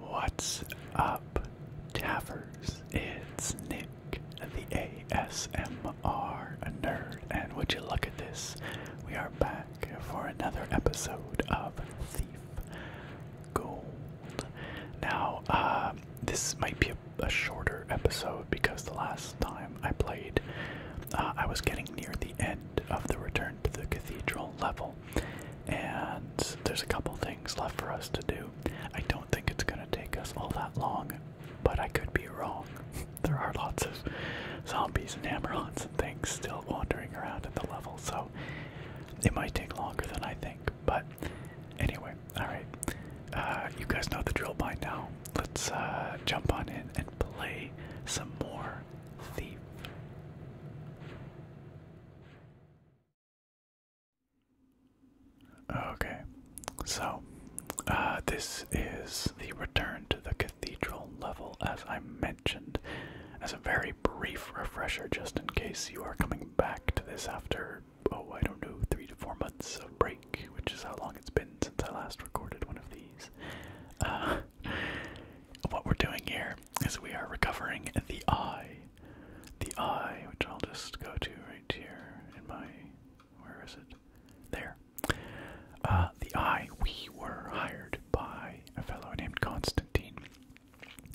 What's up, tavers? It's Nick, the ASMR nerd, and would you look at this? We are back for another episode of Thief gold. Now, uh, this might be a, shorter episode because the last time I played, uh, I was getting near the end of the Return to the Cathedral level, and there's a couple things left for us to do. I don't think it's going to take us all that long, but I could be wrong. there are lots of zombies and hammerons and things still wandering around at the level, so it might take longer than I think, but anyway, alright. Uh, you guys know the drill by now. Let's uh, jump on in and play some more Thief. Okay, so uh, this is the return to the cathedral level, as I mentioned as a very brief refresher, just in case you are coming back to this after, oh, I don't know, three to four months of break, which is how long it's been since I last recorded one of these. Uh, what we're doing here is we are recovering the eye. The eye, which I'll just go to right here in my. Where is it? There. Uh, the eye, we were hired by a fellow named Constantine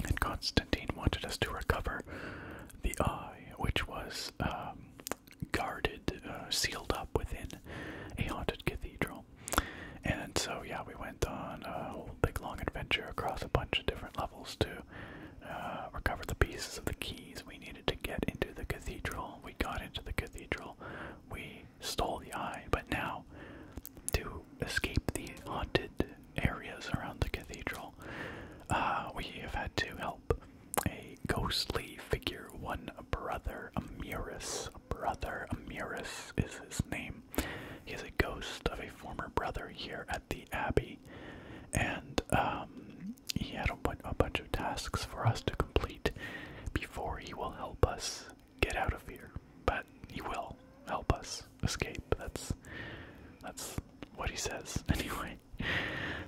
and Constantine wanted us to recover the eye, which was um, guarded, uh, sealed up within a haunted cathedral. And so, yeah, we went on a whole big long adventure across a bunch of different levels to uh, recover the pieces of the keys we needed to get into the cathedral. We got into the cathedral, we stole the eye, but now to escape the haunted areas around the cathedral, uh, we have had to help a ghostly figure, one brother, Amirus. Brother Amirus is his name. He is a ghost of a former brother here at the abbey, and um, he had a bunch of tasks for us to complete before he will help us get out of here, but he will help us escape. That's that's what he says anyway.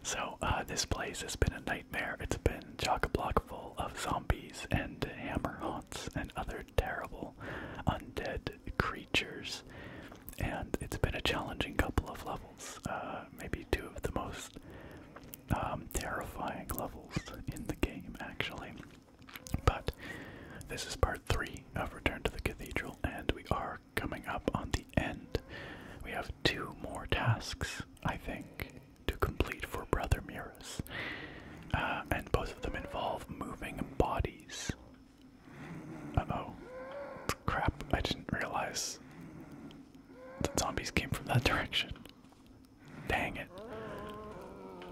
So uh, this place has been a nightmare. It's been jock a block full of zombies and hammer haunts and other terrible undead creatures, and it's been a challenging couple of levels. Uh, maybe two of the most um, terrifying levels in the game, actually. But this is part three of Return to the Cathedral, and we are coming up on the end. We have two more tasks, I think, to complete for Brother Murus, uh, and both of them involve moving bodies. oh. Crap, I didn't realize the zombies came from that direction. Dang it.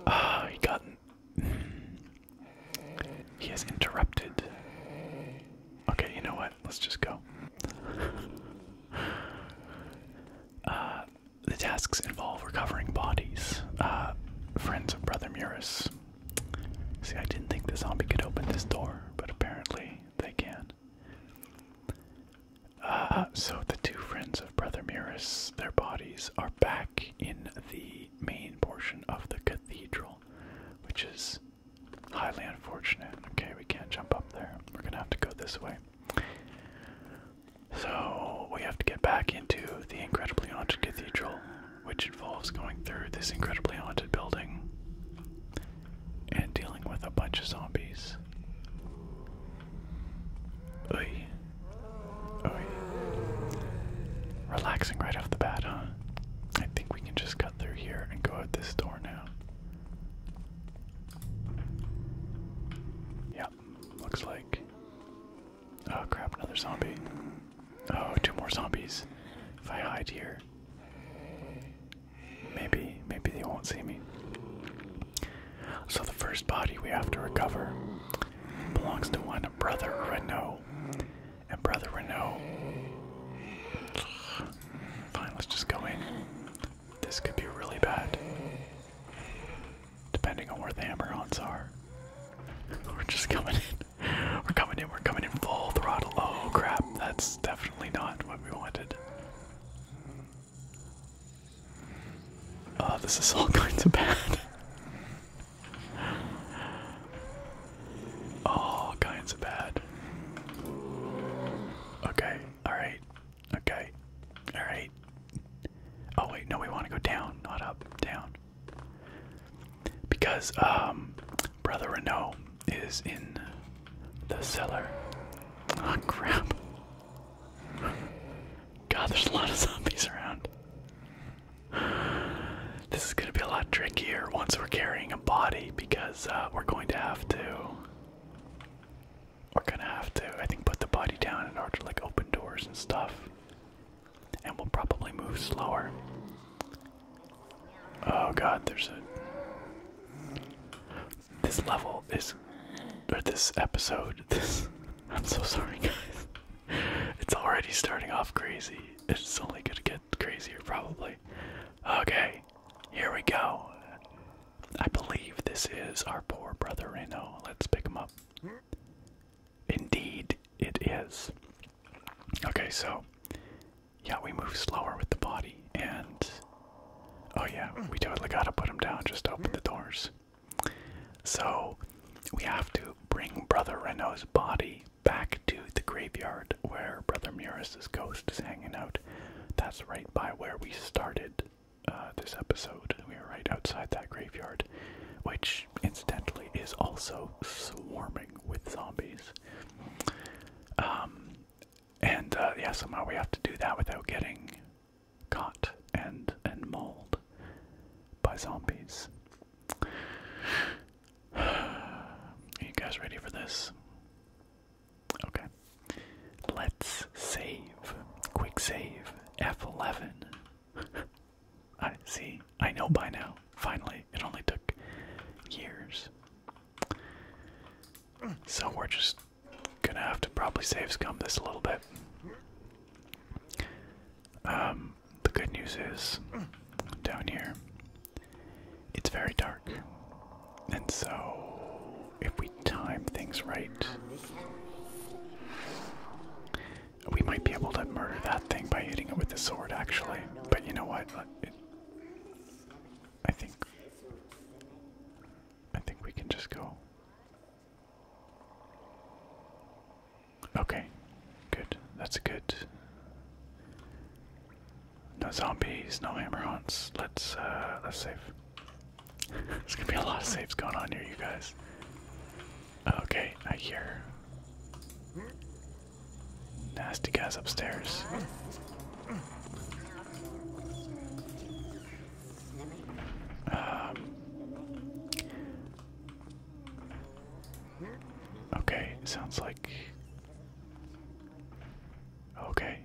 Ah, he got. He has interrupted. Okay, you know what? Let's just go. Uh, the tasks involve recovering bodies. Uh, friends of Brother Muris. See, I didn't think the zombie could open this door, but apparently they can. Uh, so the two friends of Brother Muris, their bodies are back in the main portion of the cathedral, which is highly unfortunate. Okay, we can't jump up there. We're gonna have to go this way. So we have to get back into the incredibly haunted cathedral, which involves going through this incredibly haunted building and dealing with a bunch of zombies. Oy. Oh, yeah. Relaxing right off the bat, huh? I think we can just cut through here and go out this door now. Yep, looks like. Oh crap, another zombie. Oh, two more zombies. If I hide here, maybe, maybe they won't see me. So, the first body we have to recover belongs to one Brother Renault. And Brother Renault. Fine, let's just go in. This could be really bad. Depending on where the hammer ons are. We're just coming in. We're coming in, we're coming in full throttle. Oh crap, that's definitely not what we wanted. Oh, this is all going to bad. All oh, kinds of bad. Okay, alright. Okay. Alright. Oh wait, no, we want to go down, not up, down. Because um Brother Renault is in the cellar. Oh crap. God, there's a lot of zombies around. This is going to be a lot trickier once we're carrying a body because uh, we're going to have to. We're going to have to, I think, put the body down in order to like open doors and stuff. And we'll probably move slower. Oh god, there's a. This level is. Or this episode. This. I'm so sorry, guys it's already starting off crazy. It's only gonna get crazier, probably. Okay, here we go. I believe this is our poor brother Reno. Let's pick him up. Indeed, it is. Okay, so yeah, we move slower with the body, and oh yeah, we totally gotta put him down. Just open the doors. So we have to bring brother Reno's body back to the graveyard where Brother Muris's ghost is hanging out. That's right by where we started uh, this episode. We are right outside that graveyard, which incidentally is also swarming with zombies. Um, and uh, yeah, somehow we have to do that without getting caught and and mauled by zombies. Are you guys ready for this? Okay. Let's save. Quick save. F11. I see. I know by now. Finally. It only took years. So we're just gonna have to probably save scum this a little bit. Um the good news is, down here, it's very dark. And so, if we time things right, we might be able to murder that thing by hitting it with the sword, actually. But you know what? I think. I think we can just go. Okay, good. That's good. No zombies, no hammer ons Let's uh, let's save. There's gonna be a lot of saves going on here, you guys. Okay, I hear nasty guys upstairs. Um, Okay, sounds like. Okay.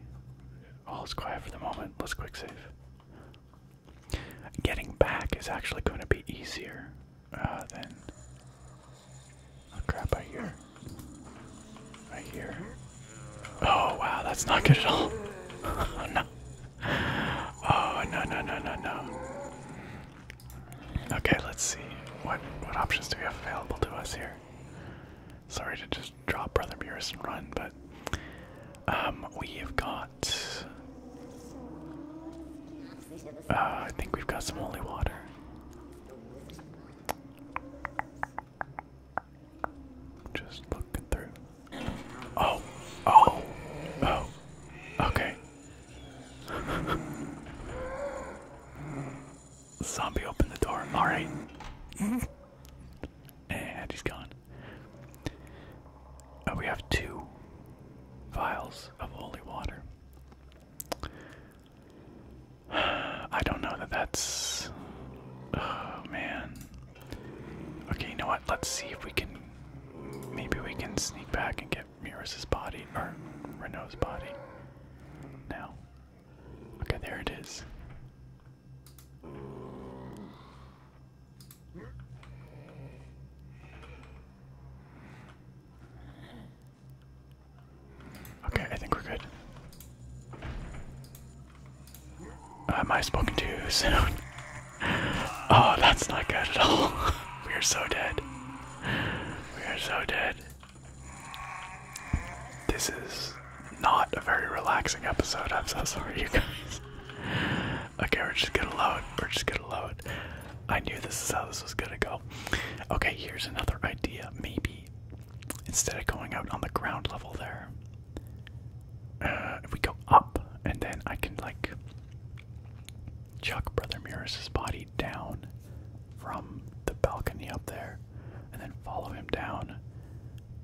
All is quiet for the moment. Let's quick save. Getting back is actually going to be easier uh, than. Oh crap, I hear. I hear. Oh wow, that's not good at all. oh no. Oh no, no, no, no, no. Okay, let's see what what options do we have available to us here. Sorry to just drop Brother Burris and run, but um, we've got. Uh, I think we've got some holy water. Just looking through. Oh, oh, oh. Okay, Zombie opened the door. Alright. and he's gone. Uh, we have two vials of holy water. I don't know that that's. Oh man. Okay, you know what? Let's see if we can. Maybe we can sneak back and get Mirus's body, or Renault's body. Now. Okay, there it is. Okay, I think we're good. Am I spoken too soon? oh, that's not good at all. we are so dead we are so dead. This is not a very relaxing episode. I'm so sorry, you guys. Okay, we're just gonna load. We're just gonna load. I knew this is how this was gonna go. Okay, here's another idea. Maybe instead of going out on the ground level there, if uh, we go up and then I can like chuck Brother Murus's body down from the balcony up there, and then follow him down.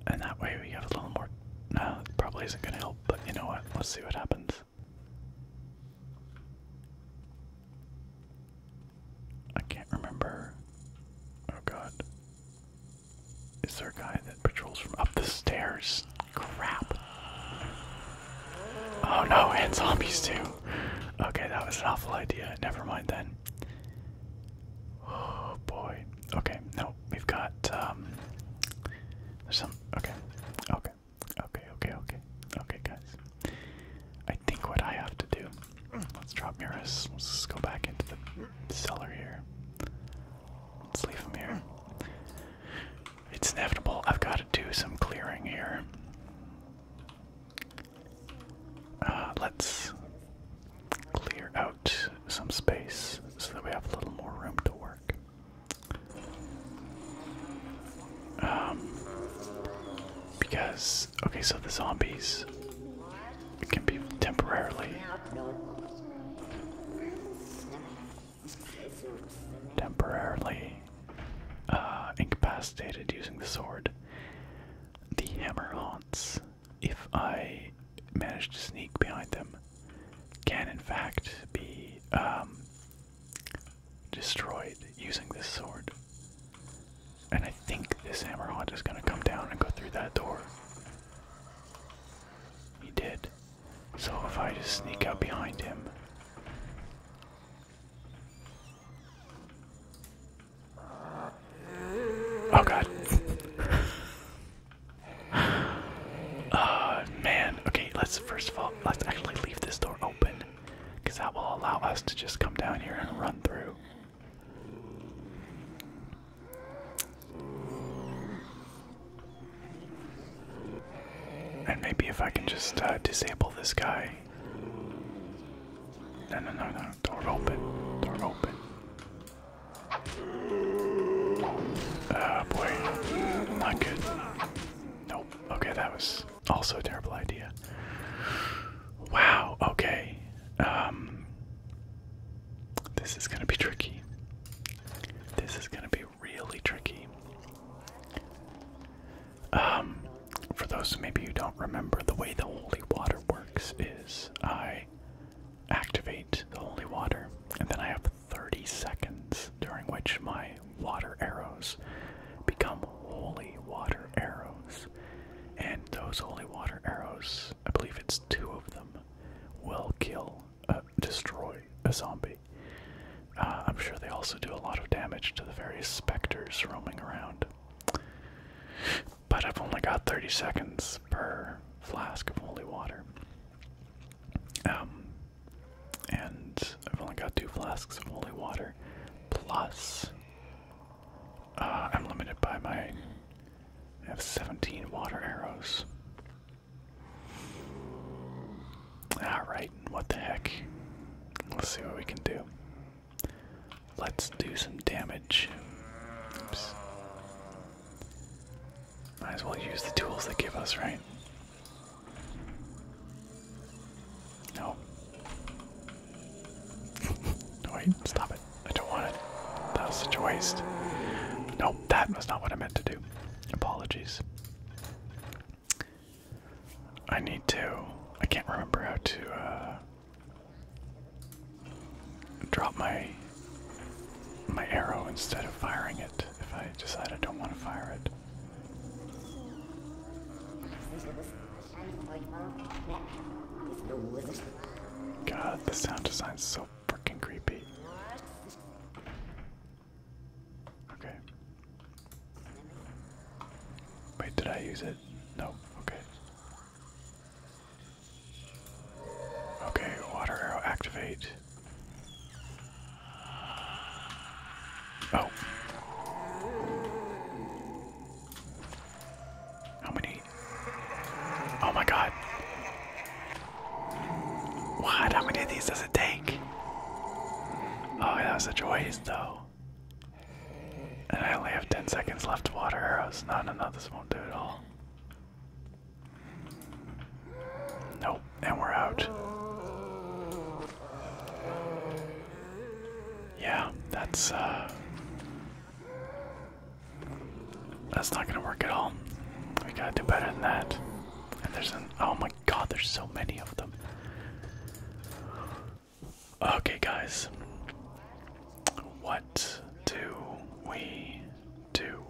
And that way we have a little more. No, it probably isn't going to help, but you know what? Let's see what happens. I can't remember. Oh god. Is there a guy that patrols from up the stairs? Crap. Oh no, and zombies too. Okay, that was an awful idea. Never mind then. Oh boy. Okay, no, we've got um there's some okay. Okay. Okay, okay, okay. Okay guys. I think what I have to do. Let's drop Muris. Let's just go back into the cellar here. Let's leave him here. It's inevitable. I've got to do some clearing here. Uh, let's clear out some space so that we have a little more room to work. Um, because, okay, so the zombies can be temporarily. Temporarily uh, incapacitated using the sword. The hammer haunts, if I manage to sneak behind them, can in fact be um, destroyed using this sword. And I think this hammer haunt is going to come down and go through that door. He did. So if I just sneak out behind him, Oh god. uh, man. Okay, let's first of all, let's actually leave this door open. Because that will allow us to just come down here and run through. And maybe if I can just uh, disable this guy way. No, no, no, no. Door open. Door open. oh, boy. Not good. Nope. Okay, that was also a terrible idea. Wow. Okay. Um. This is gonna be tricky. This is gonna be really tricky. Um, for those maybe who don't remember, the way the holy water works is I activate the holy water, and then I have 30 seconds during which my water arrows become holy water arrows. And those holy water arrows, I believe it's two of them, will kill, uh, destroy a zombie. Uh, I'm sure they also also do a lot of damage to the various specters roaming around. But I've only got 30 seconds per flask of holy water. Um, and I've only got two flasks of holy water. Plus, uh, I'm limited by my. I have 17 water arrows. Alright, what the heck? Let's see what we can do. Let's do some damage. Might as well use the tools they give us, right? No. no, wait, stop it. I don't want it. That was such a waste. No, that was not what I meant to do. Apologies. I need to. I can't remember how to uh, drop my my arrow instead of firing it. If I decide I don't want to fire it. God, the sound design's so freaking creepy. Okay, Wait, did I use it? No, okay. Okay, water arrow activate. Oh. How many? Oh my god. What? How many of these does it take? Oh, that was such a waste, though. And I only have 10 seconds left to water arrows. No, no, no, this won't do it all. Nope, and we're out. Yeah, that's, uh... That's not gonna work at all. We gotta do better than that. And there's an... Oh my god, there's so many of them. Okay, guys. What do we do?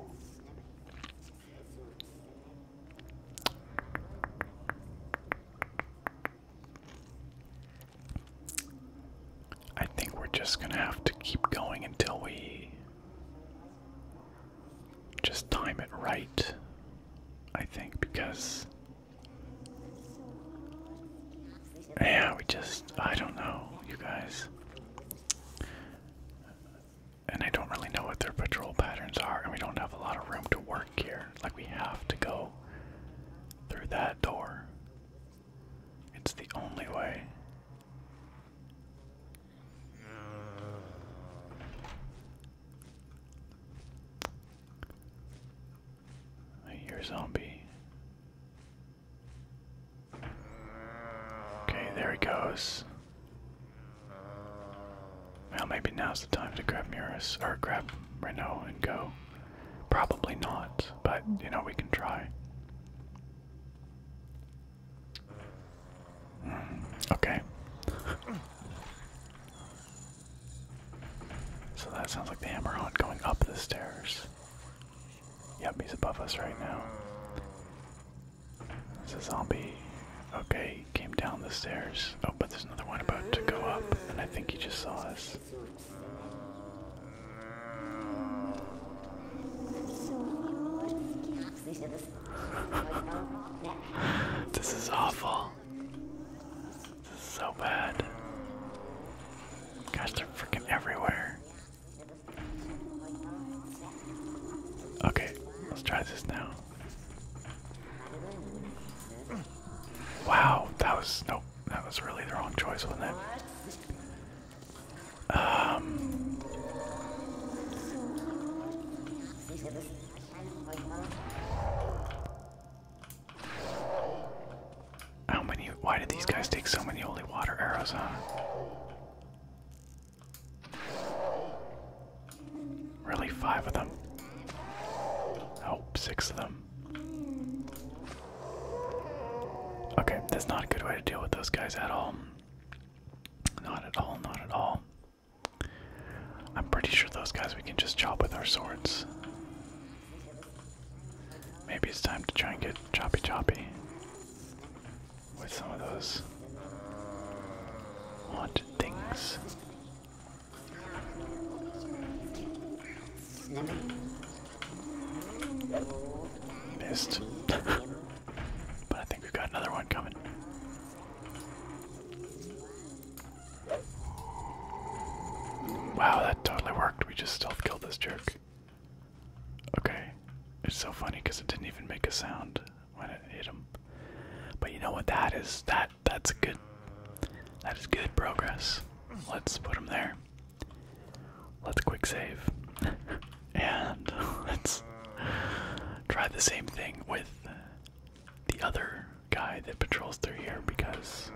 I think we're just gonna have to keep going until we just time it right. I think because yeah, we just, I don't know, you guys. And I don't really know what their patrol patterns are, and we don't have a lot of room to work here. Like, we have to go through that door. It's the only way. I hear a zombie. Okay, there he goes. Well, maybe now's the time to grab Muris, or grab Reno and go. Probably not, but you know, we can try. Hmm, okay. So that sounds like the Hammerhorn going up the stairs. Yep, he's above us right now. It's a zombie. Okay, came down the stairs. Oh, but there's another one about to go up, and I think he just saw us. this is awful. This is so bad. Gosh, they're freaking everywhere. Okay, let's try this now. Wow, that was nope, that was really the wrong choice, wasn't it? Um how many? Why did these guys take so many holy water arrows, on? Really, five of them? Oh, six of them. Okay, that's not a good way to deal with those guys at all. Not at all, not at all. I'm pretty sure those guys we can just chop with our swords. Maybe it's time to try and get choppy choppy with some of those haunted things. Missed. but I think we've got another one coming. Wow, that totally worked. We just stealth killed this jerk. Okay. It's so funny because it didn't even make a sound when it hit him. But you know what that is? That that's good. That is good progress. Let's put him there. Let's quick save. and let's try the same thing with the other guy that patrols through here because,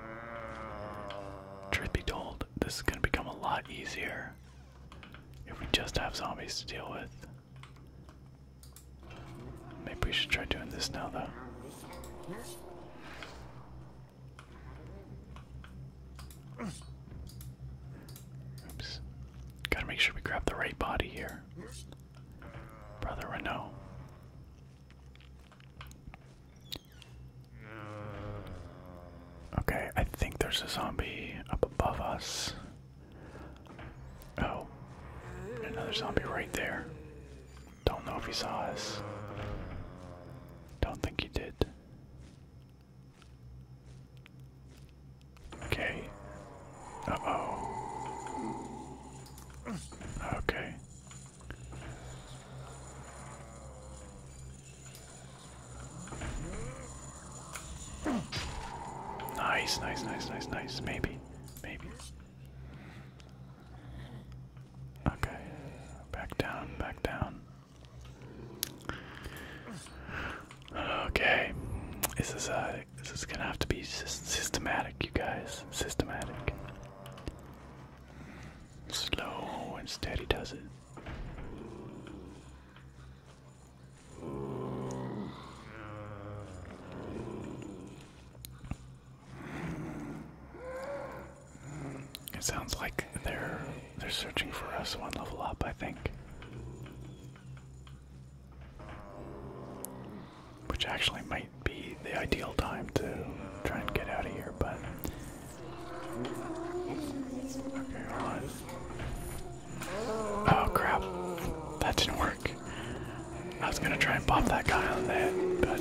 truth be told, this is going to become a lot easier if we just have zombies to deal with. Maybe we should try doing this now, though. Oops. Gotta make sure we grab the right body here. Brother Renault. Okay, I think there's a zombie up above us. Oh, another zombie right there. Don't know if he saw us. Don't think he did. Okay. Uh oh. Okay. Nice, nice, nice, nice, nice. Maybe, maybe. Okay, back down, back down. Okay, this is uh, this is gonna have to be systematic, you guys. Systematic. Slow and steady does it. It sounds like they're they're searching for us one level up, I think. Which actually might be the ideal time to try and get out of here, but Oh crap. That didn't work. I was gonna try and pop that guy on the but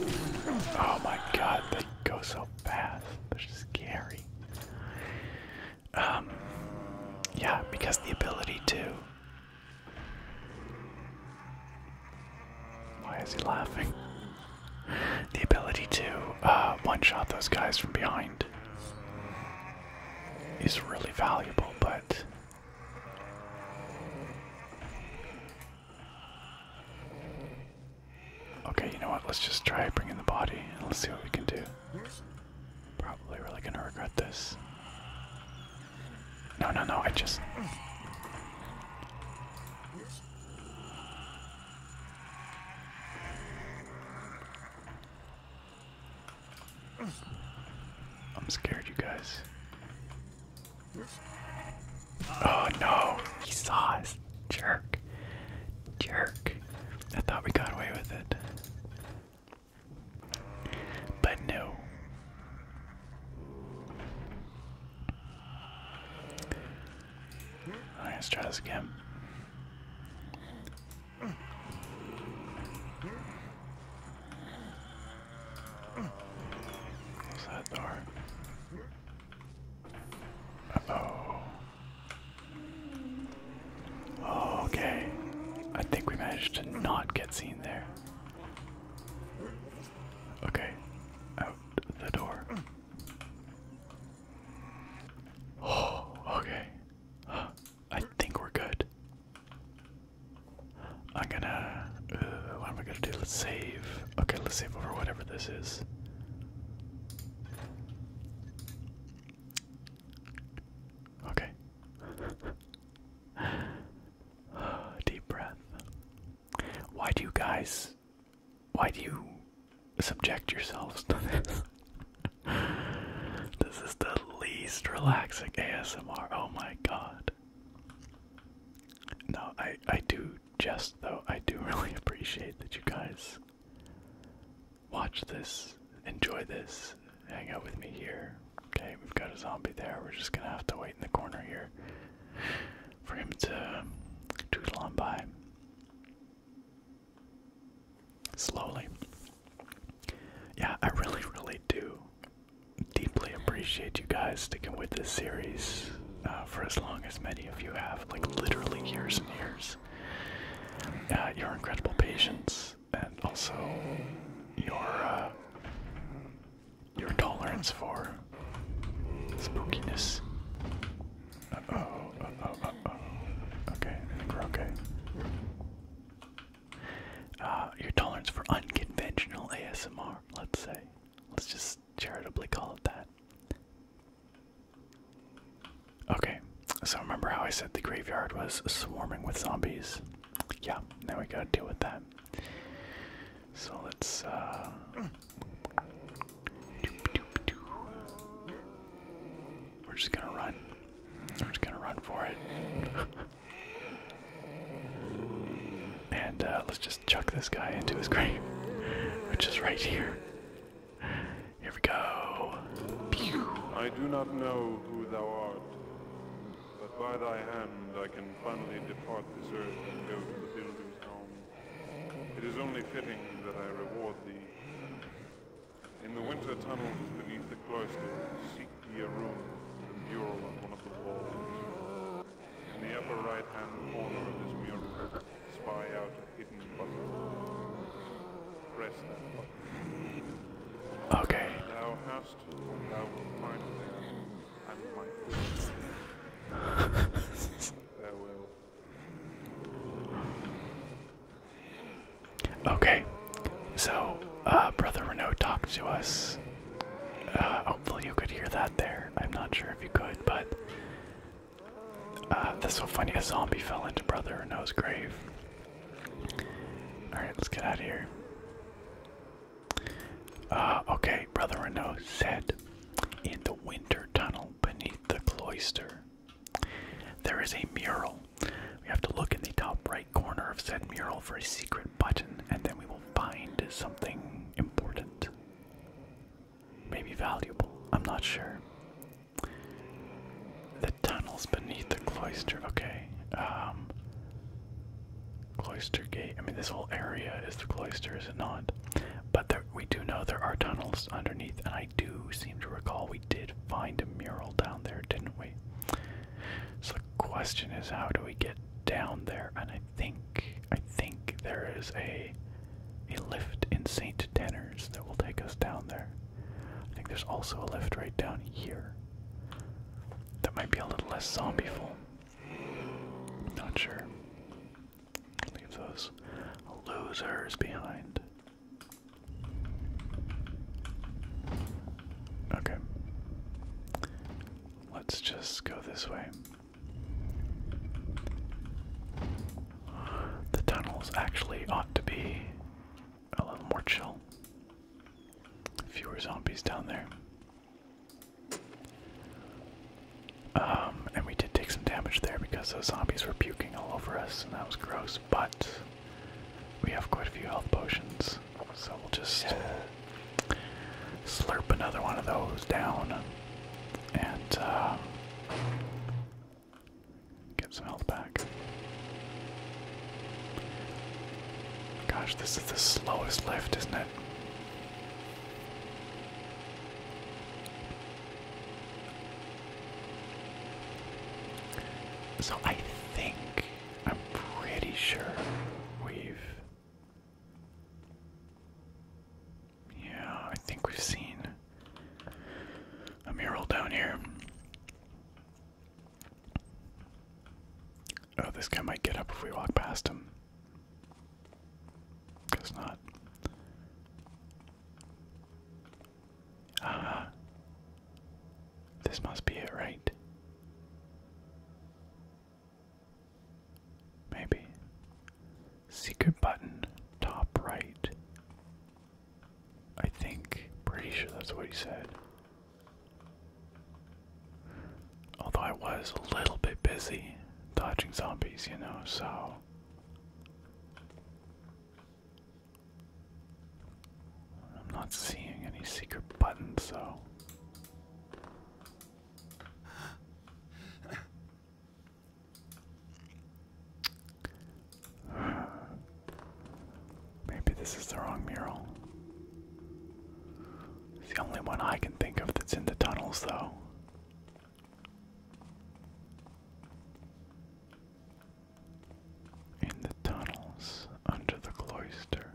oh my god, they go so fast. They're scary. Um yeah, because the ability to why is he laughing? The ability to uh, one shot those guys from behind is really valuable, but. Okay, you know what? Let's just try bringing the body and let's see what we can do. Probably really gonna regret this. No, no, no, I just. I'm scared, you guys. Oh no! He saw us! Jerk! Jerk! I thought we got away with it. But no. Right, oh, let's try this again. Close that door. oh. Okay. I think we managed to not get seen there. Okay. Out the door. Oh, okay. I think we're good. I'm gonna. Uh, what am I gonna do? Let's save. Okay, let's save over whatever this is. Okay. Deep breath. Why do you guys why do you subject yourselves to this? this is the least relaxing ASMR. Oh my god. No, I I do just though. I do really appreciate that you guys watch this, enjoy this, hang out with me here. Okay, we've got a zombie there. We're just gonna have to wait in the corner here for him to tootle on by. Slowly. Yeah, I really, really do deeply appreciate you guys sticking with this series uh, for as long as many of you have, like literally years and years. Uh, your incredible patience and also your uh, your tolerance for spookiness. Okay, we're okay. Uh, your tolerance for unconventional ASMR, let's say. Let's just charitably call it that. Okay, so remember how I said the graveyard was swarming with zombies? Yeah, now we gotta deal with that. So let's, uh, we're just gonna run. We're just gonna run for it. and uh, let's just chuck this guy into his grave, which is right here. Here we go. I do not know who thou art, but by thy hand I can finally depart this earth and go to the builder's home. It is only fitting that I reward thee. In the winter tunnels beneath the cloister, seek ye a room, with a mural on one of the walls. In the upper right-hand corner of this mural, spy out a hidden button. Press that button. Okay. Thou hast, thou wilt find there, and my Farewell. Okay, so uh, Brother Renault talked to us. Uh, hopefully, you could hear that there. I'm not sure if you could, but uh, this that's so funny. A zombie fell into Brother Renault's grave. Alright, let's get out of here. okay, Brother Renault said in the winter tunnel beneath the cloister. There is a mural. We have to look in the top right corner of said mural for a secret button, and then we will find something important. Maybe valuable, I'm not sure. The tunnels beneath the cloister, okay. Um, cloister gate, I mean, this whole area is the cloister, is it not? But there we do know there are tunnels underneath, and I do seem to recall we did find a mural down there, didn't we? So the question is, how do we get down there? And I think, I think there is a a lift in Saint Tenners that will take us down there. I think there's also a lift right down here. That might be a little less zombieful. Not sure. Leave those losers behind. Okay. Let's just go this way. The tunnels actually ought to be a little more chill. Fewer zombies down there. Um, and we did take some damage there because those zombies were puking all over us, and that was gross. But we have quite a few health potions, so we'll just slurp another one of those down and um, get some health back. Gosh, this is the slowest lift, isn't it? So I think, I'm pretty sure we've. Yeah, I think we've seen a mural down here. Oh, this guy might get up if we walk past him. Guess not. Ah. this must be it, right? Maybe. Secret button, top right. I think. Pretty sure that's what he said. Although I was a little bit busy dodging zombies, you know, so. I'm not seeing any secret buttons, so. Maybe this is the wrong mural. It's the only one I can think of that's in the tunnels, though in the tunnels under the cloister.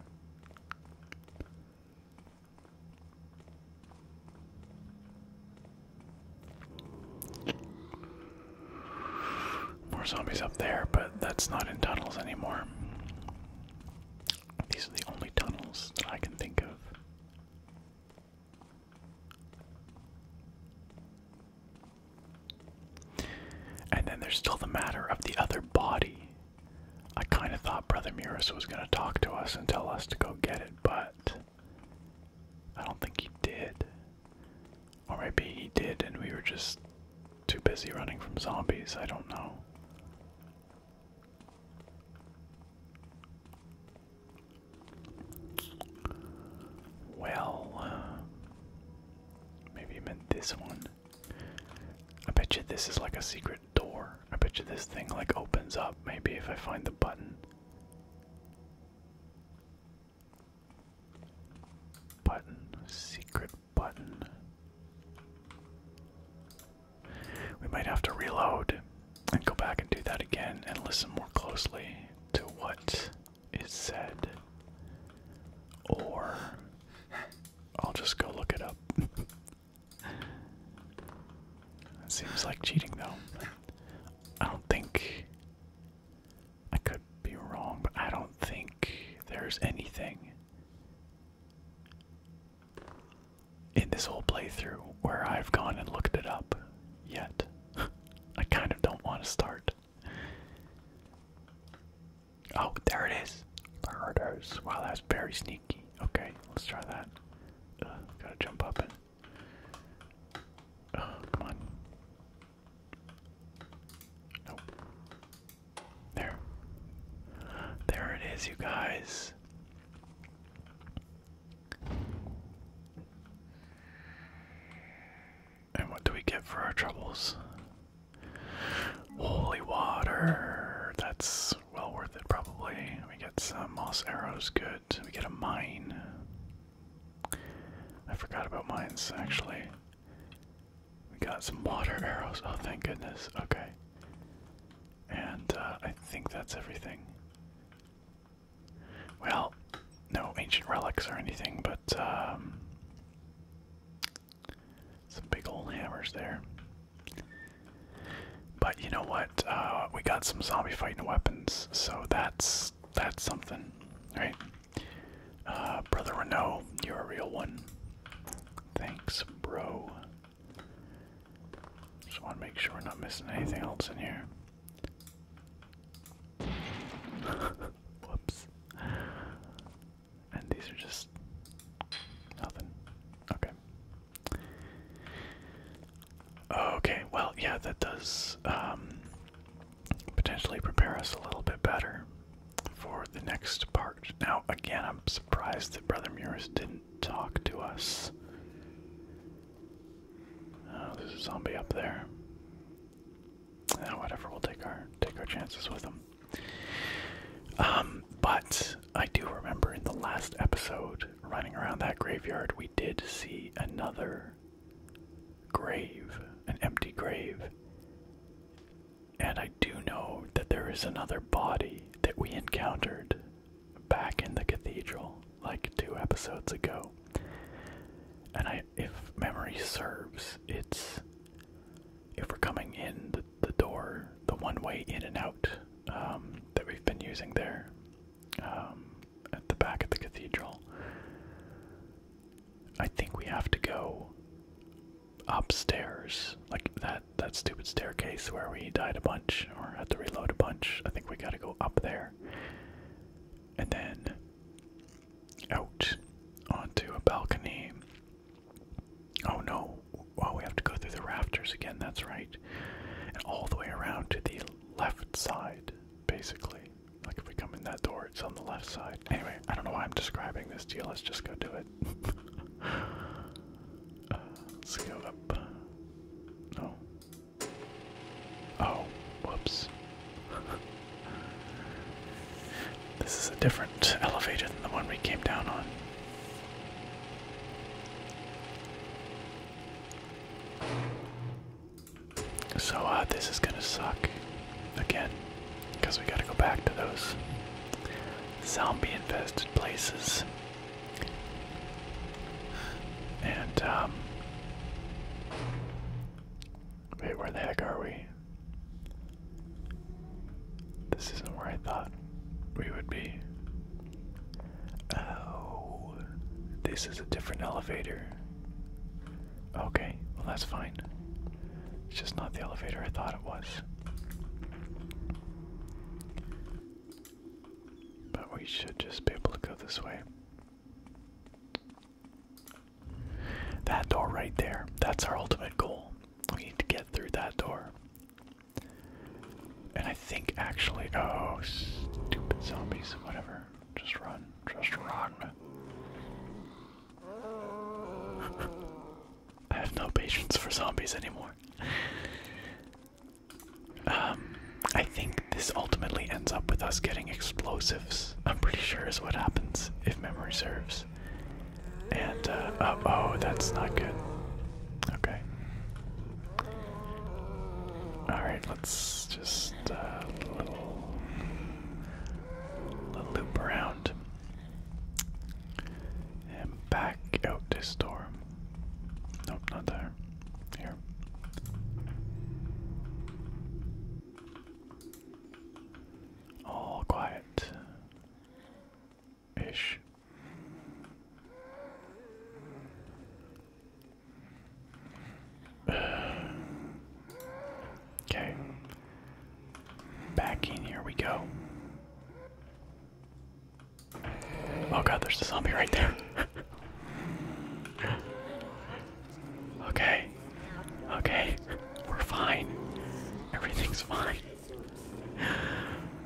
More zombies up there, but that's not in tunnels anymore. These are the only tunnels that I can think of. And then there's still the matter of the other body. I kind of thought Brother Muris was going to talk to us and tell us to go get it, but I don't think he did. Or maybe he did and we were just too busy running from zombies. I don't know. Well, uh, maybe you meant this one. I bet you this is like a secret door. I bet you this thing like opens up maybe if I find the button. Button, secret button. We might have to reload and go back and do that again and listen more closely to what is said. Or I'll just go look it up. seems like cheating though. I don't think I could be wrong, but I don't think there's anything in this whole playthrough where I've gone and looked it up yet. I kind of don't want to start. Oh, there it is. There it is. that's very sneaky. Okay, let's try that. gotta jump up come on. Nope. There. There it is, you guys. And what do we get for our troubles? Holy water. That's well worth it, probably. We get some moss arrows, good. We get a mine. I forgot about mines, actually. We got some water arrows. Oh, thank goodness. Okay. And uh, I think that's everything. Well, no ancient relics or anything, but um, some big old hammers there. But you know what? Uh, we got some zombie fighting weapons, so that's that's something, right? Uh, Brother Renault, you're a real one. Thanks, bro. Just want to make sure we're not missing anything else in here. Whoops. And these are just nothing. Okay. Okay, well, yeah, that does um, potentially prepare us a little bit better for the next part. Now, again, I'm surprised that Brother Muris didn't talk to us. Oh, there's a zombie up there. Oh, whatever, we'll take our take our chances with him. Um, but I do remember in the last episode, running around that graveyard, we did see another grave, an empty grave. And I do know that there is another body that we encountered back in the cathedral like two episodes ago. And I, if memory serves, it's if we're coming in the, the door, the one way in and out um, that we've been using there um, at the back of the cathedral. I think we have to go upstairs, like that that stupid staircase where we died a bunch or had to reload a bunch. I think we got to go up there, and then out onto a balcony. Oh no, well, we have to go through the rafters again, that's right. And all the way around to the left side, basically. Like if we come in that door, it's on the left side. Anyway, I don't know why I'm describing this deal. Let's just go do it. uh, let up. No, Oh, whoops. this is a different elevator than the one we came down on. So, uh, this is gonna suck again because we gotta go back to those zombie infested places. And, um, Wait, where the heck are we? This isn't where I thought we would be. Oh, this is a different elevator. Okay, well, that's fine. It's just not the elevator I thought it was. But we should just be able to go this way. That door right there. That's our ultimate goal. We need to get through that door. And I think actually. Oh, stupid zombies. Whatever. Just run. Just run. I have no patience for zombies anymore. Um, I think this ultimately ends up with us getting explosives, I'm pretty sure is what happens if memory serves. And, uh, oh, oh, that's not good. Okay. Alright, let's just, uh, little, little loop around. And back out this door. Nope, not there. Here. All oh, quiet. Ish. Okay. Back in here we go. Oh god, there's the zombie right there. Okay. Okay. We're fine. Everything's fine.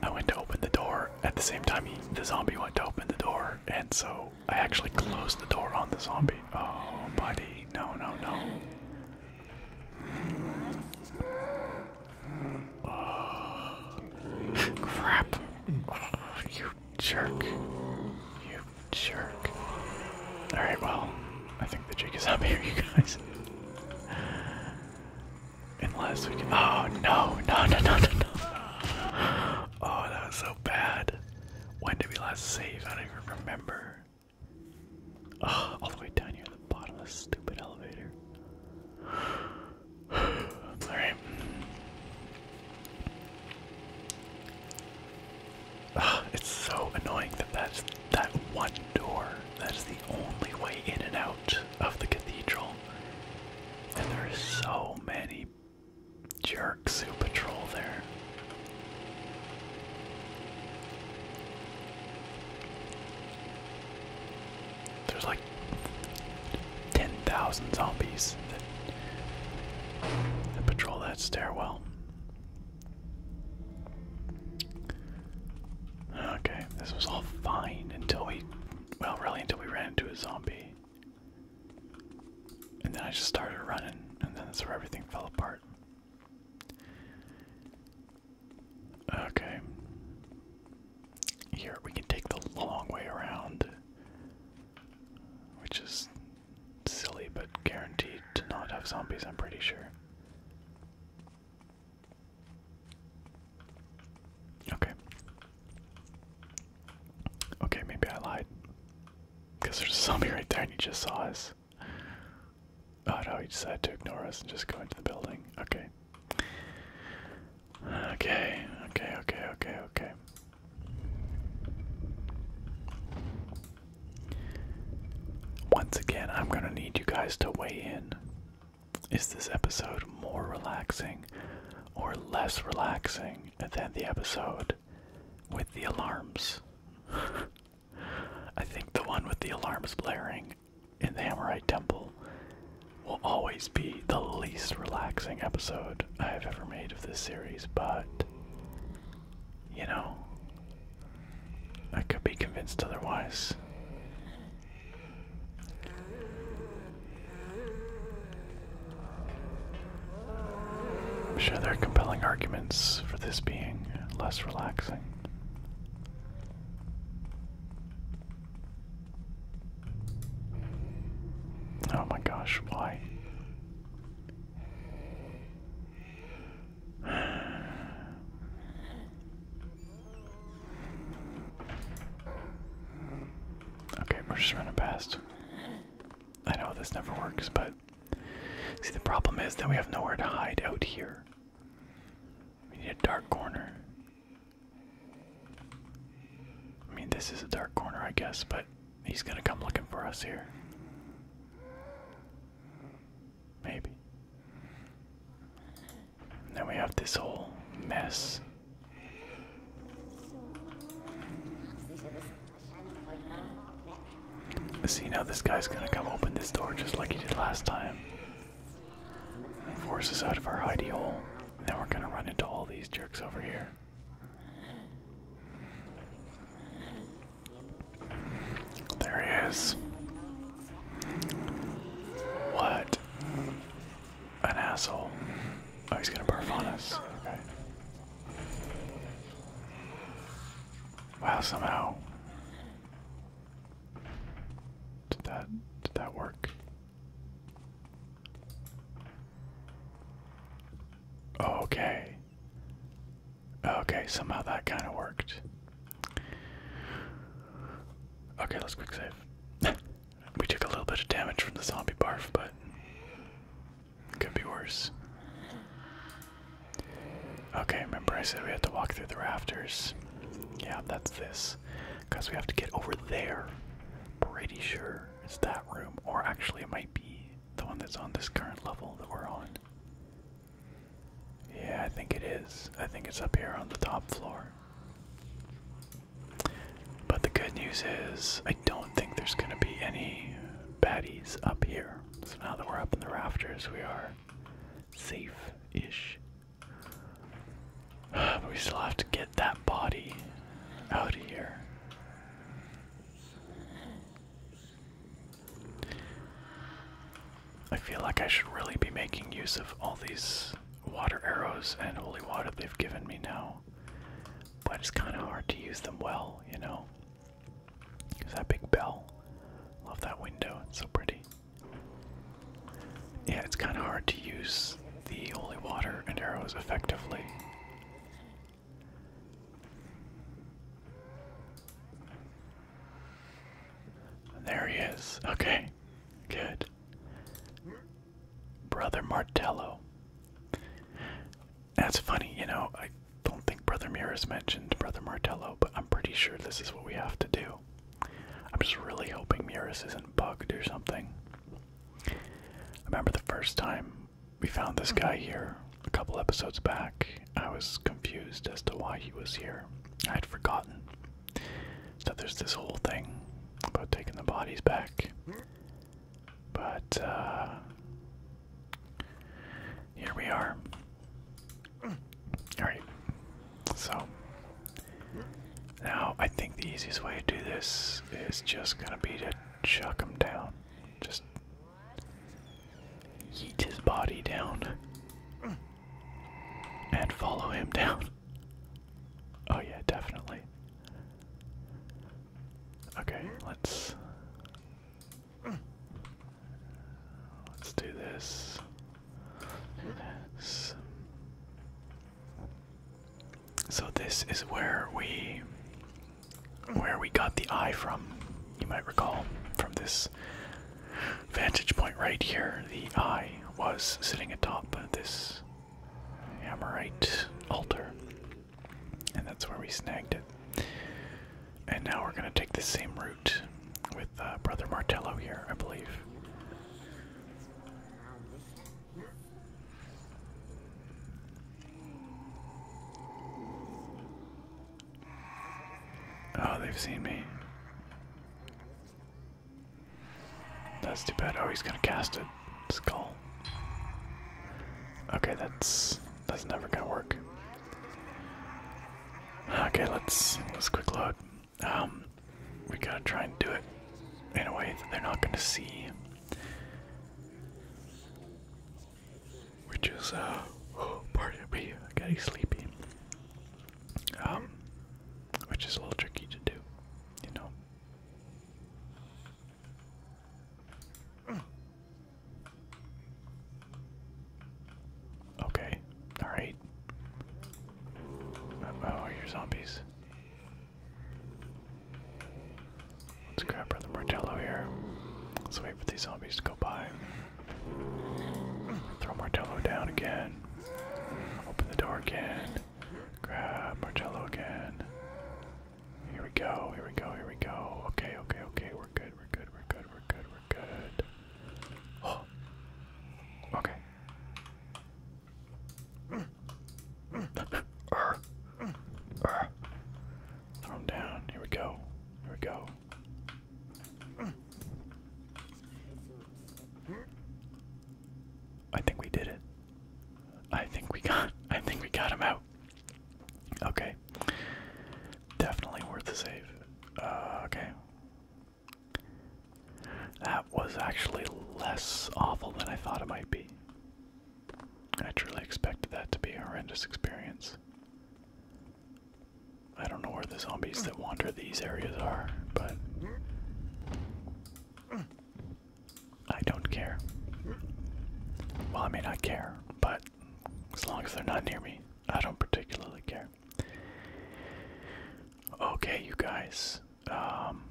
I went to open the door at the same time the zombie went to open the door, and so I actually closed the door on the zombie. Oh, buddy. No, no, no. Oh. Crap. Oh, jerk. You jerk. Alright, well, I think the jig is up here, you guys. Unless we Oh, no, no, no, no, no, Oh, that was so bad. When did we last save? I don't even remember. all the way down here at the bottom of the stupid elevator. Alright it's so annoying that that's that one door. That's the only way in and out of the cathedral. And there are so many jerks who patrol there. There's like 10,000 zombies that patrol that stairwell. Okay, this was all fine until we, well, really until we ran into a zombie. And then I just started running, and then that's where everything fell apart. Okay. Here, we can take the long way around. Which is silly, but guaranteed to not have zombies, I'm pretty sure. Okay. Okay, maybe I lied. Because there's a zombie right there and he just saw us. Oh no, he decided to ignore us and just go into the building. Okay. Okay, okay, okay, okay, okay. Once again, I'm going to need you guys to weigh in. Is this episode more relaxing or less relaxing than the episode with the alarms? I think the one with the alarms blaring in the Hammerite Temple will always be the least relaxing episode I have ever made of this series, but you know, I could be convinced otherwise. I'm sure there are compelling arguments for this being less relaxing. Oh my gosh, why? Okay, we're just running past. I know this never works, but see, the problem is that we have nowhere to hide out here. We need a dark corner. I mean, this is a dark corner, I guess, but He's gonna come looking for us here. Maybe. then we have this whole mess. See now this guy's gonna come open this door just like he did last time. force us out of our hidey hole. And then we're gonna run into all these jerks over here. There he is. What? An asshole. Oh, he's gonna barf on us. Okay. Wow, somehow. Did that did that work? Oh, okay. Okay, somehow that kind of worked. Okay, let's quick save. we took a little bit of damage from the zombie barf, but it could be worse. Okay, remember I said we had to walk through the rafters. Yeah, that's this. Because we have to get over there. Pretty sure it's that room, or actually, it might be the one that's on this current level that we're on. Yeah, I think it is. I think it's up here on the top floor. But the good news is, I don't think there's going to be any baddies up here. So now that we're up in the rafters, we are safe ish. But we still have to get that body out of here. I feel like I should really be making use of all these water arrows and holy water they've given me now. But it's kind of hard to use them well, you know? There's that big bell. Love that window, it's so pretty. Yeah, it's kind of hard to use the holy water and arrows effectively. There he is. Okay. Good. Brother Martello. That's funny, you know, I don't think Brother Mirrors mentioned Brother Martello, but I'm pretty sure this is what we have to do. I'm just really hoping Mirrors isn't bugged or something. remember the first time we found this mm-hmm. guy here, a couple episodes back, I was confused as to why he was here. I would forgotten that there's this whole thing about taking the bodies back. But, uh, here we are. Alright, so now I think the easiest way to do this is just gonna be to chuck them down. Just Yeet his body down. And follow him down. Oh, yeah, definitely. Okay, let's. Let's do this. Do this. So, this is where we where we got the eye from. You might recall from this vantage point right here, the eye was sitting atop this Amorite altar. And that's where we snagged it. And now we're going to take the same route with uh, Brother Martello here, I believe. Oh, they've seen me. That's too bad. Oh, he's gonna cast a skull. Okay, that's that's never gonna work. Okay, let's let's quick look. Um, we gotta try and do it in a way that they're not gonna see which is uh oh, pardon me, sleepy. Um, which is a little tricky to do, you know. Okay, all right. Uh, oh, you're zombies. Let's grab Brother Martello here. So wait for these zombies to go by. Throw Martello down again. Open the door again. Grab Martello again. Here we go, here we go, here we go. Okay, okay, okay, we're good, we're good, we're good, we're good, we're good. Oh. Okay. Urgh. Urgh. Throw him down. Here we go. Here we go. I think we did it. I think we got I think we got him out. Okay. Definitely worth the save. Uh, okay. That was actually less awful than I thought it might be. I truly expected that to be a horrendous experience. I don't know where the zombies that wander these areas are, but I don't care. Well, I may not care, but as long as they're not near me, I don't particularly care. Okay, you guys. Um,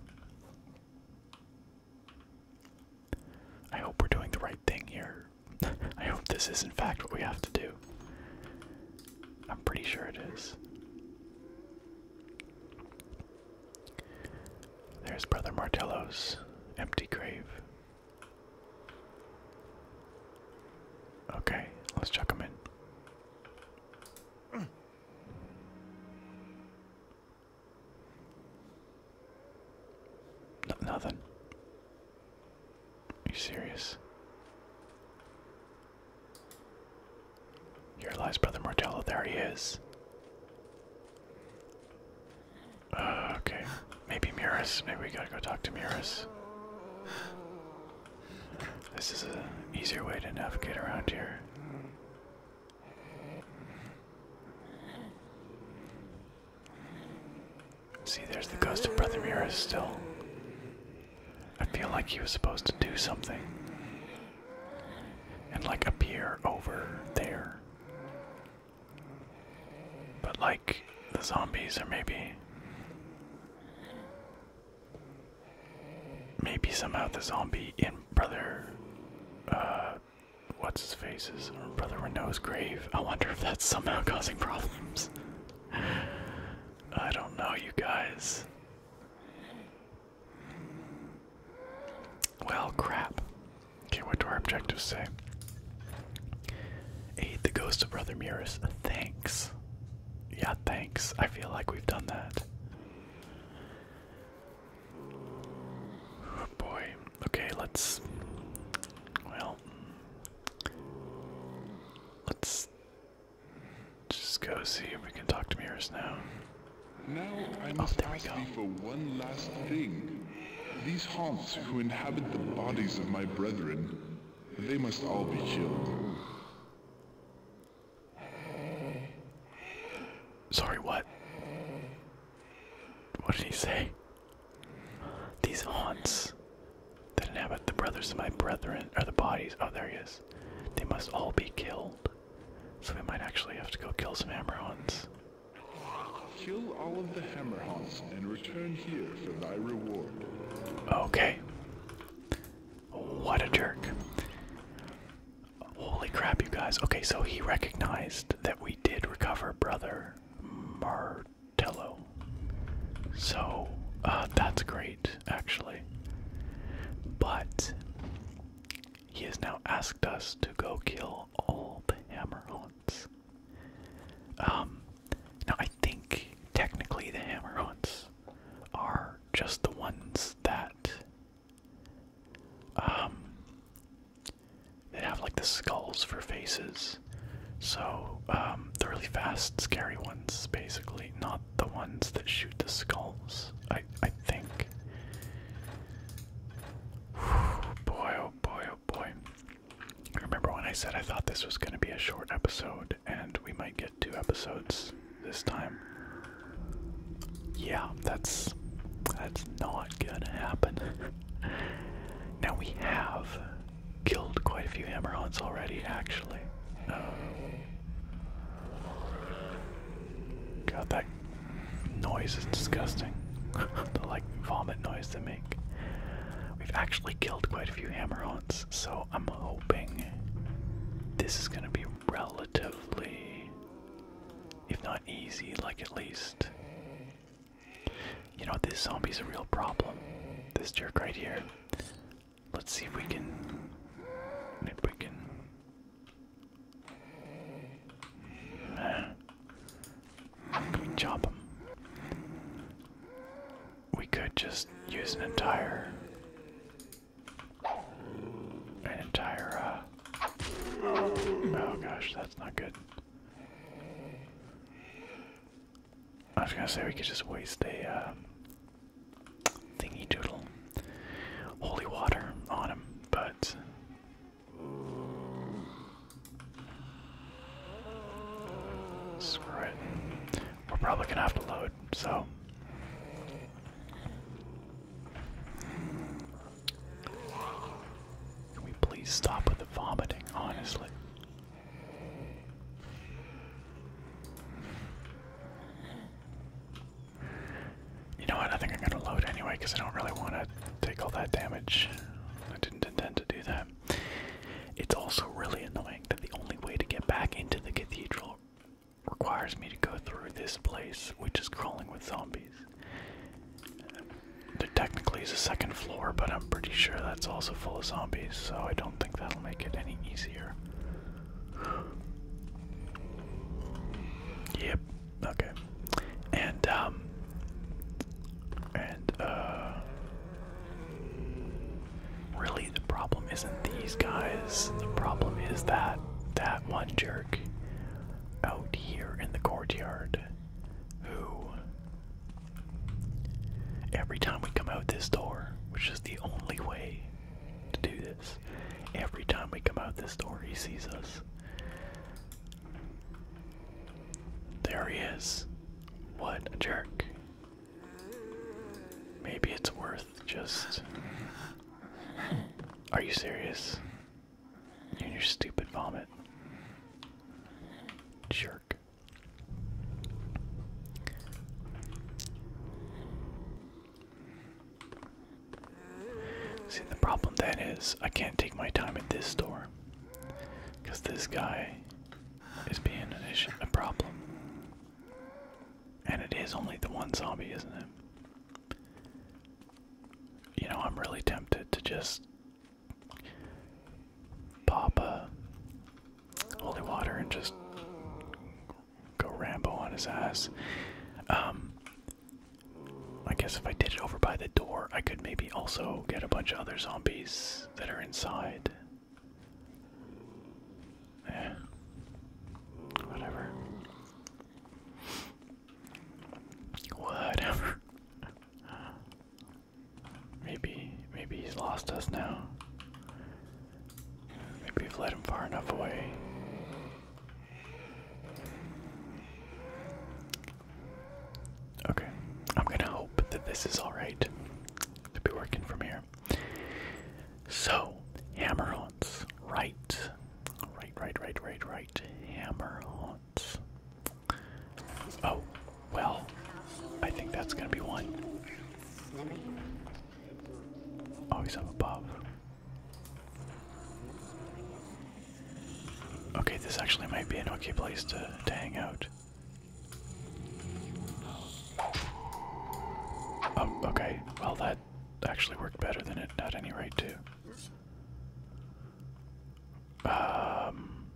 I hope we're doing the right thing here. I hope this is, in fact, what we have to do. I'm pretty sure it is. There's Brother Martello's empty grave. Okay, let's chuck him in. nothing. Are you serious? Here lies Brother Martello. There he is. Uh, okay. Maybe Miras. Maybe we gotta go talk to Miras. This is an easier way to navigate around here. See, there's the ghost of Brother Mira still. I feel like he was supposed to do something. And like appear over there. But like the zombies or maybe maybe somehow the zombie in Brother uh what's his face's is or Brother Renault's grave. I wonder if that's somehow causing problems. I don't know, you guys. Well, crap. Okay, what do our objectives say? Aid the ghost of Brother Murus. Thanks. Yeah, thanks. I feel like we've done that. Oh, boy. Okay, let's. Well, Let's just go see if we can talk to mirrors now. Now I oh, must oh, ask thee for one last thing. These haunts who inhabit the bodies of my brethren, they must all be killed. Sorry, what? What did he say? These haunts that inhabit the brothers of my brethren are the bodies. Oh, there he is. They must all be killed. So we might actually have to go kill some hammer haunts. Kill all of the hammer haunts and return here for thy reward. Okay. What a jerk. Holy crap, you guys. Okay, so he recognized that we did recover Brother Tello. So uh, that's great, actually. But he has now asked us to go kill all the hammer um, now I think technically the hammer are just the ones that um, they have like the skulls for faces so, um, the really fast, scary ones, basically, not the ones that shoot the skulls, I, I think. boy, oh boy, oh boy. remember when I said I thought this was going to be a short episode, and we might get two episodes this time. Yeah, that's that's not gonna happen. now we have killed quite a few hammerheads already, actually. Um, God, that noise is disgusting. the like vomit noise they make. We've actually killed quite a few hammerheads, so I'm hoping this is going to be relatively, if not easy, like at least. You know, this zombie's a real problem. This jerk right here. Let's see if we can. If we can. Can them? We could just use an entire. An entire, uh, Oh gosh, that's not good. I was gonna say we could just waste a um, thingy doodle, holy water on him, but screw it. We're probably gonna have to load, so. Can we please stop with the vomiting, honestly? You know what? I think I'm gonna load anyway because I don't really want to take all that damage. I didn't intend to do that. It's also really annoying that the only way to get back into the cathedral requires me to go through this place, which is crawling with zombies. There technically is a second floor, but I'm pretty sure that's also full of zombies, so I don't think that'll make it any easier. Yep. Okay. And um, and uh, really the problem isn't these guys. The problem is that that one jerk out here in the courtyard who Every time we come out this door, which is the only way to do this, every time we come out this door, he sees us. There he is. What a jerk. Maybe it's worth just. Are you serious? You and your stupid vomit. Jerk. See, the problem then is I can't take my time at this store because this guy is being an issue, a problem. And it is only the one zombie, isn't it? You know, I'm really tempted to just pop a holy water and just go Rambo on his ass. Um, I guess if I did it over by the door, I could maybe also get a bunch of other zombies that are inside. Eh, whatever. Whatever. Maybe, maybe he's lost us now. Maybe you have led him far enough away. Okay, I'm gonna hope that this is alright to be working from here. So, hammer haunts. Right. Right, right, right, right, right. Hammer haunts. Oh, well, I think that's gonna be one. Always oh, he's up above. Okay, this actually might be an okay place to, hang out. Oh, okay. Well, that actually worked better than it at any rate too. Um,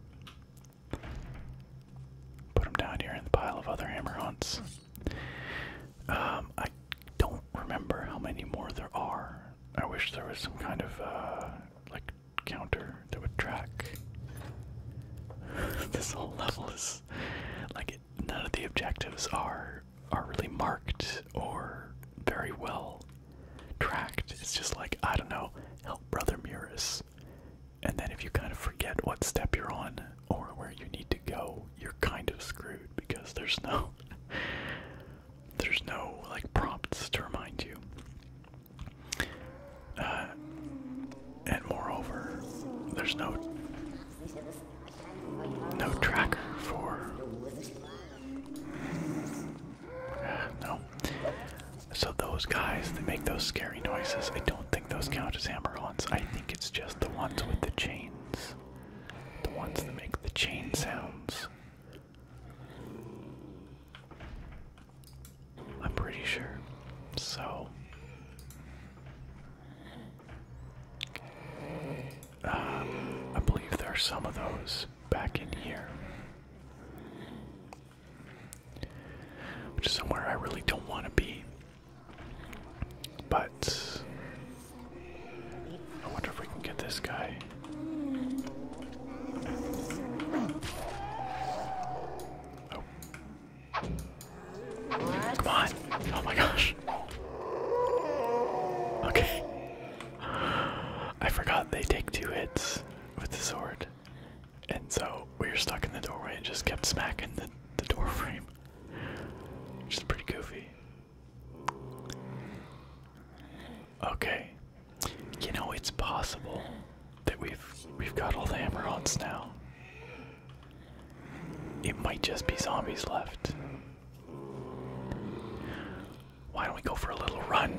put him down here in the pile of other hammer hunts. Um, I don't remember how many more there are. I wish there was some kind of uh, like counter that would track. this whole level is like none of the objectives are are really marked or very well tracked. It's just like I don't know, help brother Muris and then if you kind of forget what step you're on or where you need to go, you're kind of screwed because there's no there's no like prompts to remind you. Uh, and moreover, there's no no tracker for no. So those guys that make those scary noises, I don't think those count hammer-ons. I think it's just the ones with the chains. The ones that make the chain sounds. I'm pretty sure. So. Um, I believe there are some of those back in here. Which is somewhere I really don't want to be. But I wonder if we can get this guy. Oh. Come on. Oh my gosh. Okay. I forgot they take two hits with the sword. And so we are stuck in the doorway and just kept smacking the door frame. Which is pretty goofy. Okay. You know it's possible that we've we've got all the hammer-ons now. It might just be zombies left. Why don't we go for a little run?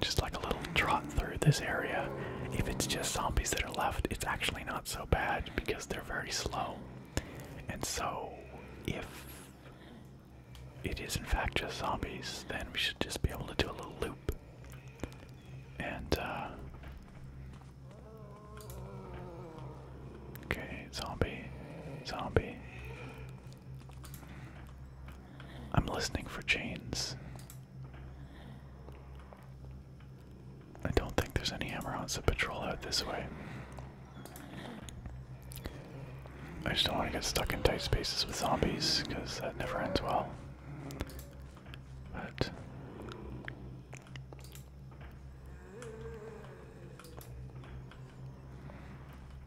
Just like a little trot through this area. If it's just zombies that are left, it's actually not not so bad because they're very slow. And so, if it is in fact just zombies, then we should just be able to do a little loop. And, uh. Okay, zombie, zombie. I'm listening for chains. I don't think there's any to patrol out this way. I just don't want to get stuck in tight spaces with zombies, because that never ends well. But.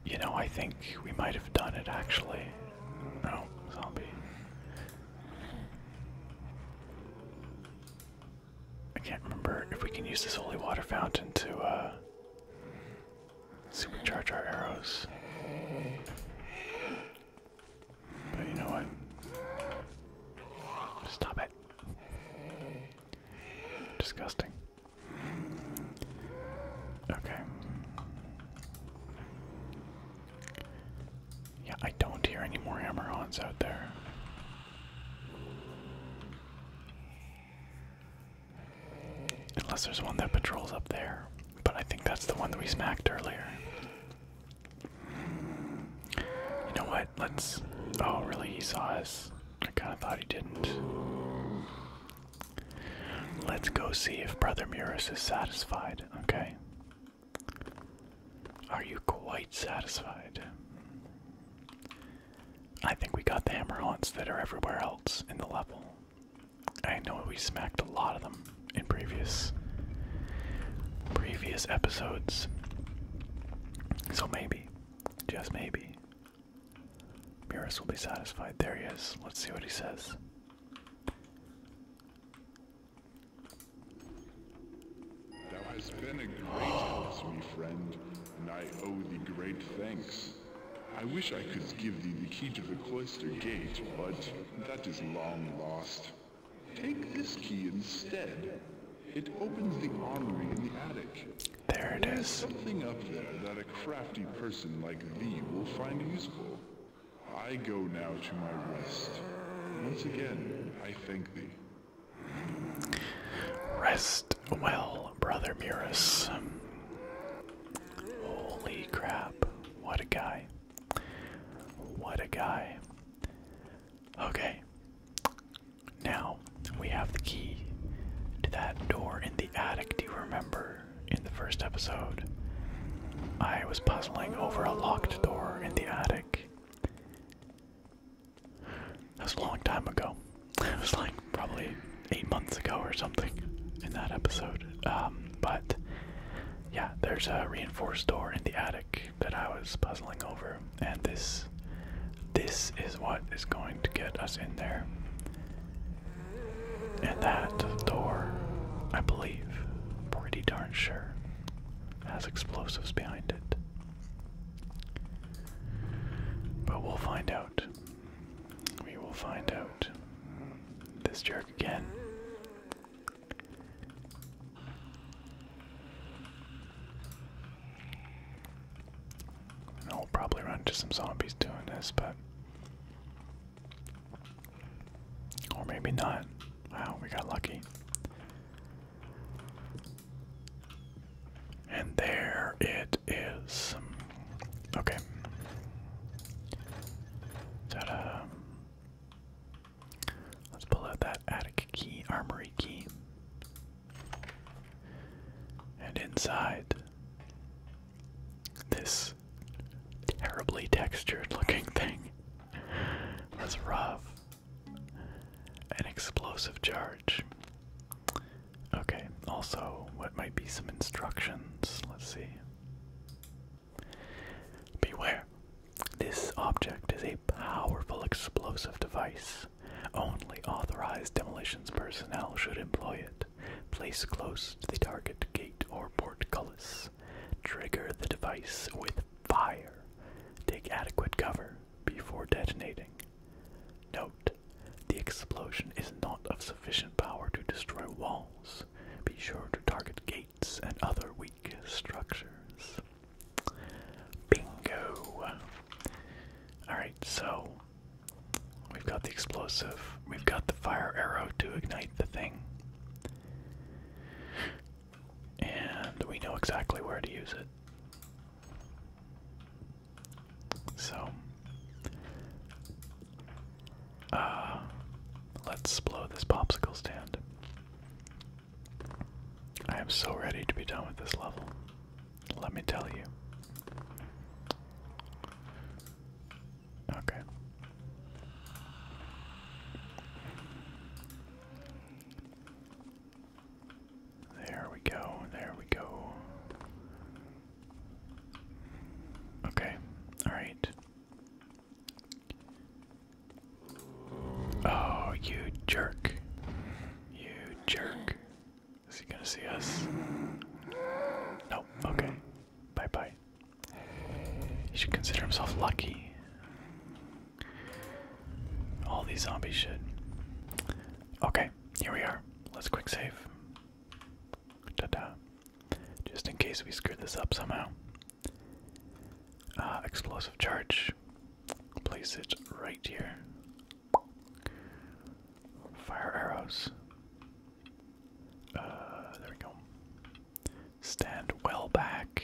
You know, I think we might have done it actually. No, zombie. I can't remember if we can use this holy water fountain to uh, supercharge our arrows. But you know what? Stop it. Disgusting. Okay. Yeah, I don't hear any more Hammerons out there. Unless there's one that patrols up there. But I think that's the one that we smacked earlier. You know what? Let's. Oh, really? He saw us. I kind of thought he didn't. Let's go see if Brother Murus is satisfied, okay? Are you quite satisfied? I think we got the hammer haunts that are everywhere else in the level. I know we smacked a lot of them in previous previous episodes. So maybe, just maybe, Beerus will be satisfied. There he is. Let's see what he says. Thou hast been a great help to me, friend, and I owe thee great thanks. I wish I could give thee the key to the cloister gate, but that is long lost. Take this key instead. It opens the armory in the attic. There it is. Something up there that a crafty person like thee will find useful. I go now to my rest. Once again, I thank thee. Rest well, brother Muris. Holy crap. What a guy. What a guy. Okay. Now we have the key to that door in the attic. Do you remember in the first episode? I was puzzling over a locked door in the attic. That was a long time ago. It was like probably eight months ago or something in that episode. Um, but yeah, there's a reinforced door in the attic that I was puzzling over, and this this is what is going to get us in there. And that door, I believe, pretty darn sure, has explosives behind it. But we'll find out. We will find out. This jerk again. And I'll probably run into some zombies doing this, but. Or maybe not. Wow, we got lucky. And there it is. Okay. ta Let's pull out that attic key, armory key. And inside this terribly textured looking thing was rough an explosive charge. Okay, also, what might be some instructions? Let's see. Beware. This object is a powerful explosive device. Only authorized demolitions personnel should employ it. Place close to the target gate or portcullis. Trigger the device with fire. Take adequate cover before detonating. Note, the explosion is not of sufficient power to destroy walls. Be sure to target gates and other weak structures. Bingo! Alright, so we've got the explosive, we've got the fire arrow to ignite the thing and we know exactly where to use it. So, uh, let's blow this popsicle stand. I am so ready to be done with this level. Let me tell you. Okay. There we go, there we go. Okay, alright. Oh, you jerk. You jerk. Is he gonna see us? Nope, okay. Bye bye. He should consider himself lucky. All these zombie shit. Okay, here we are. Let's quick save. Ta da. Just in case we screw this up somehow. Uh, explosive charge. Place it right here. Fire arrows. Uh, there we go. Stand well back.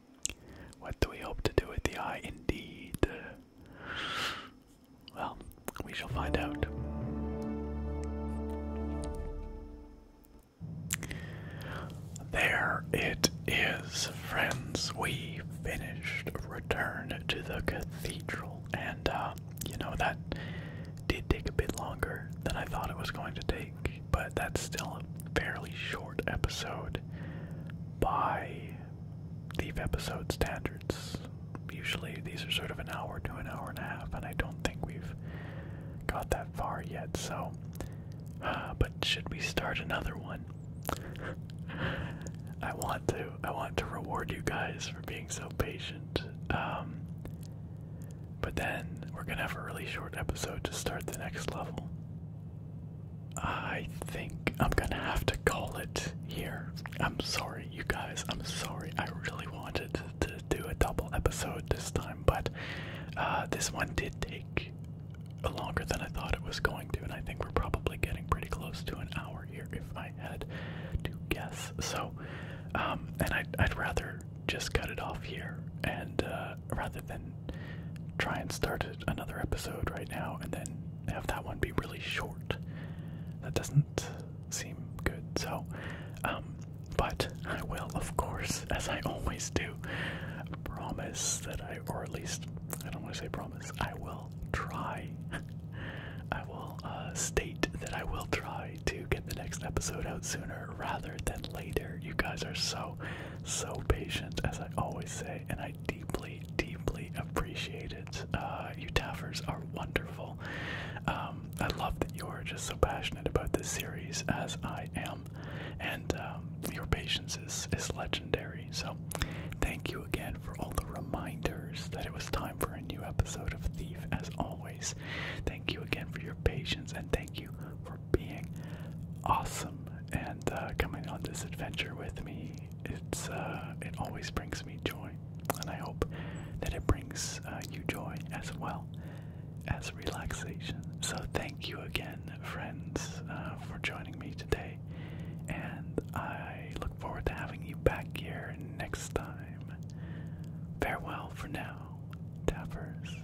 What do we hope to do with the eye? Indeed. Well, we shall find out. There it is, friends. We finished Return to the Cathedral, and uh, you know, that did take a bit longer than I thought it was going to take, but that's still a fairly short episode by Thief episode standards. Usually these are sort of an hour to an hour and a half, and I don't think we've got that far yet, so. but should we start another one? I want to. I want to reward you guys for being so patient. Um, but then we're gonna have a really short episode to start the next level. I think I'm gonna have to call it here. I'm sorry, you guys. I'm sorry. I really wanted to, do a double episode this time, but uh, this one did take longer than I thought it was going to, and I think we're probably getting pretty close to an hour here if I had to guess. So, um, and I'd, rather just cut it off here, and uh, rather than try and start another episode right now and then have that one be really short. That doesn't seem good. So, um, but I will, of course, as I always do, promise that I, or at least, I don't want to say promise, I will try. I will uh, state that I will try to get the next episode out sooner rather than later. You guys are so, so patient, as I always say, and I deeply, deeply appreciate uh, you Taffers are wonderful. Um, I love that you're just so passionate about this series as I am, and um, your patience is, is legendary. So, thank you again for all the reminders that it was time for a new episode of Thief, as always. Thank you again for your patience, and thank you for being awesome and uh, coming on this adventure with me. It's uh, it always brings me joy, and I hope that it brings uh, you joy as well as relaxation. So thank you again, friends, for joining me today, and I look forward to having you back here next time. Farewell for now, Tappers.